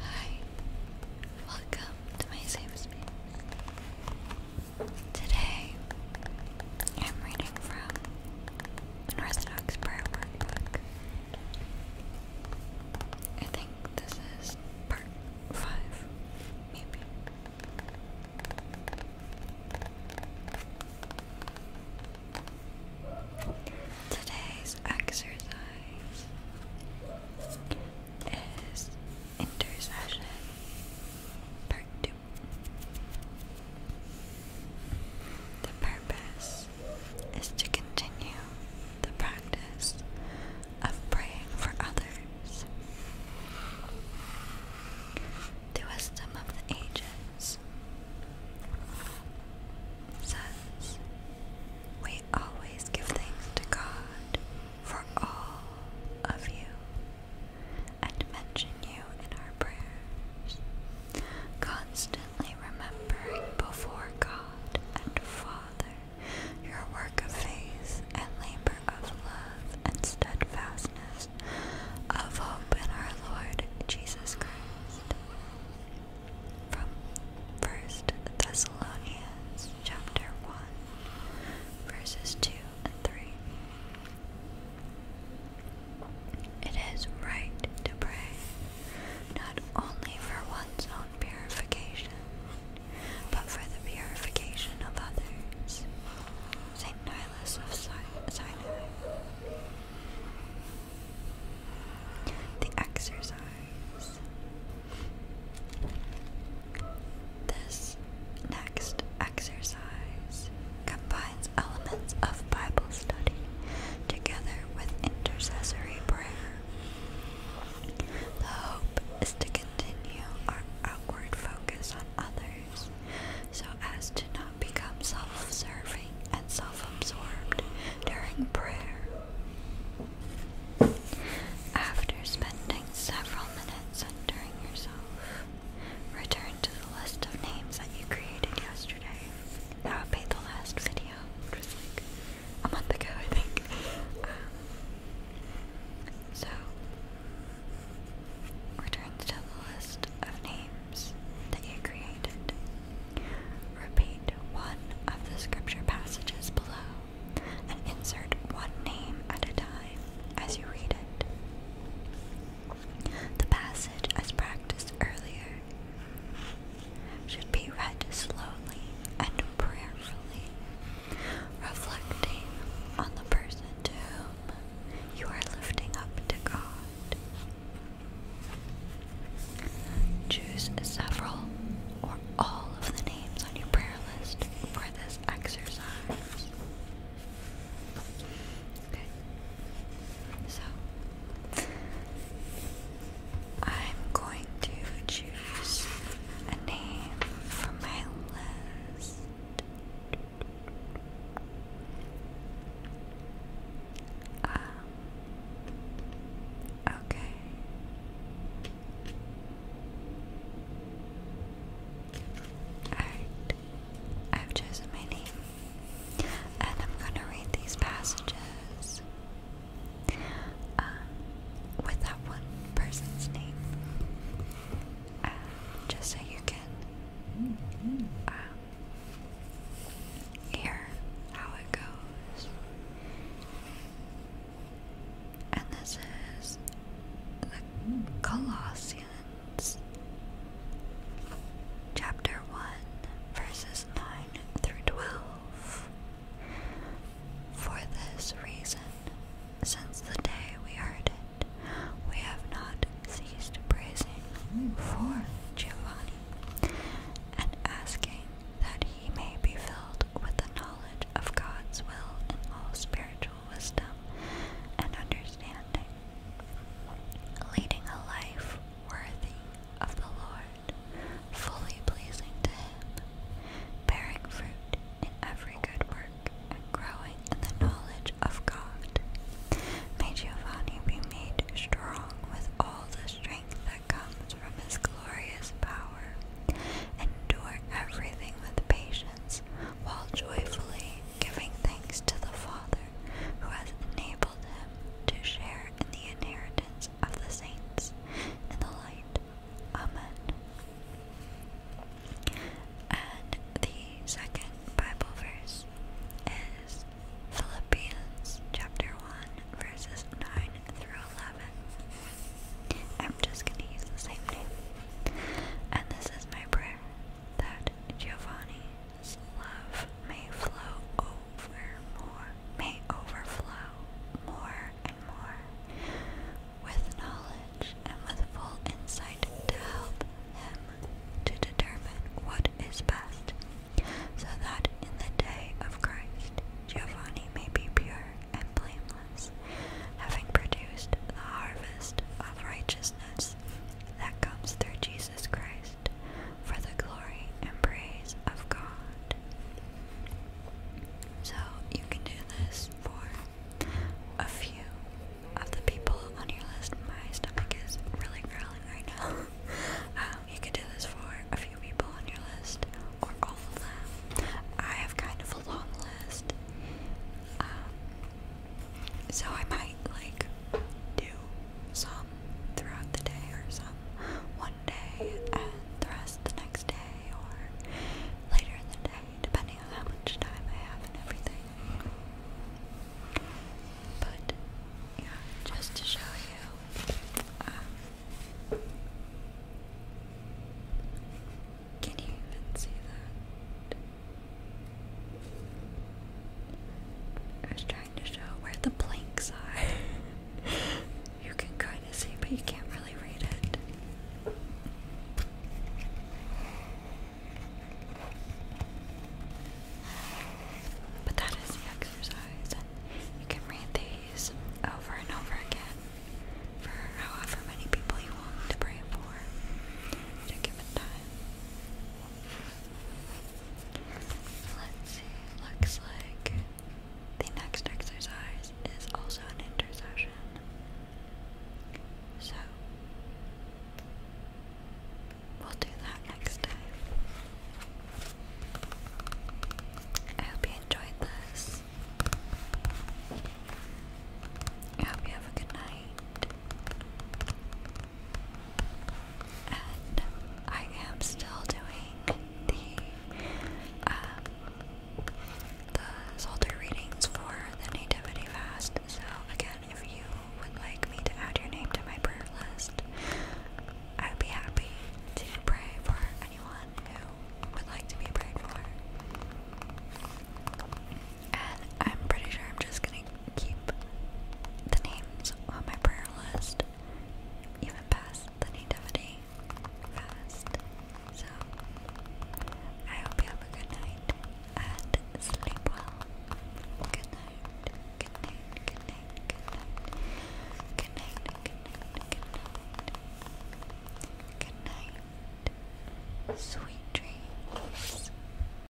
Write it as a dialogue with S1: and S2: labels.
S1: Hi, welcome to my safe space. Today, I'm reading from an Orthodox prayer workbook. I think this is part five, maybe. Today's exercise is Intercession Part 2. The purpose is to continue the practice of praying for others. The wisdom of the ages says, We always give thanks to God for all of you and mention you in our prayers, constantly remembering before God and Father your work of faith and labor of love and steadfastness of hope in our Lord Jesus Christ. From First Thessalonians chapter 1 verses 2 and 3. It is right to pray not only for one's own purification, but for the purification of others. St. Nilus of Sinai the exercise. This next exercise combines elements of Bible study together with intercessory prayer. The hope is to continue our outward focus on others so as to not become self serving and self absorbed during prayer. After spending several minutes centering yourself, return to the list of names that you created yesterday. That would the last video, which was like a month ago, I think. Um, so, Returns to the list of names that you created. Repeat one of the scripture passages below and insert one name at a time as you read it. The passage, as practiced earlier, should be read slowly and prayerfully, reflecting on the person too you are lifting up to God. Choose several or all of the names on your prayer list for this exercise. So, I'm going to choose a name from my list. Um, okay. Alright. I've chosen my name. And I'm gonna read these passages um, with that one person's name just so you can um, hear how it goes. And this is Colossians chapter 1, verses 9 through 12. For this reason, since the day we heard it, we have not ceased praising for Giovanni and asking that he may be filled with the knowledge of God's will in all spiritual wisdom and understanding, leading a life worthy of the Lord, fully pleasing to Him, bearing fruit in every good work, and growing in the knowledge of God. May Giovanni be made strong with all the strength that comes from his glorious power. Endure everything with patience, while joyfully giving thanks to the Father who has enabled him to share in the inheritance of the saints in the light Amen. And the second Bible verse is Philippians chapter 1, verses 9 through 11. I'm just going to use the same name. And this is my prayer that Giovanni's love may flow over more, may overflow more and more with knowledge and with full insight to help him to determine what is best, so that in the day of Christ Giovanni may be pure and blameless, having produced the harvest of righteousness that comes through Jesus Christ for the glory and praise of God. So you can do this for a few of the people on your list. My stomach is really growling right now. Um, you can do this for a few people on your list or all of them. I have kind of a long list. Um, so I might like do some throughout the day or some and the rest the next day or later in the day, depending on how much time I have and everything. But yeah, just to show you, um, can you even see that? I was trying to show where the planks are. you can kind of see, but you can't really read it. But that is the exercise, you can read these over and over again for however many people you want to pray for at a given time. Let's see, looks like the next exercise is also an intercession. So, we'll do that next time. I hope you enjoyed this. I hope you have a good night and I am still doing the um, the Psalter readings for the Nativity Fast. So again, if you would like me to add your name to my prayer list, I would be happy to pray for anyone who would like to be prayed for. And I'm pretty sure I'm just gonna keep the names on my prayer list, even past the nativity So, I hope you have a good night and sleep well. good night, good night, good night, good night, good night, good night, good night, sweet dreams.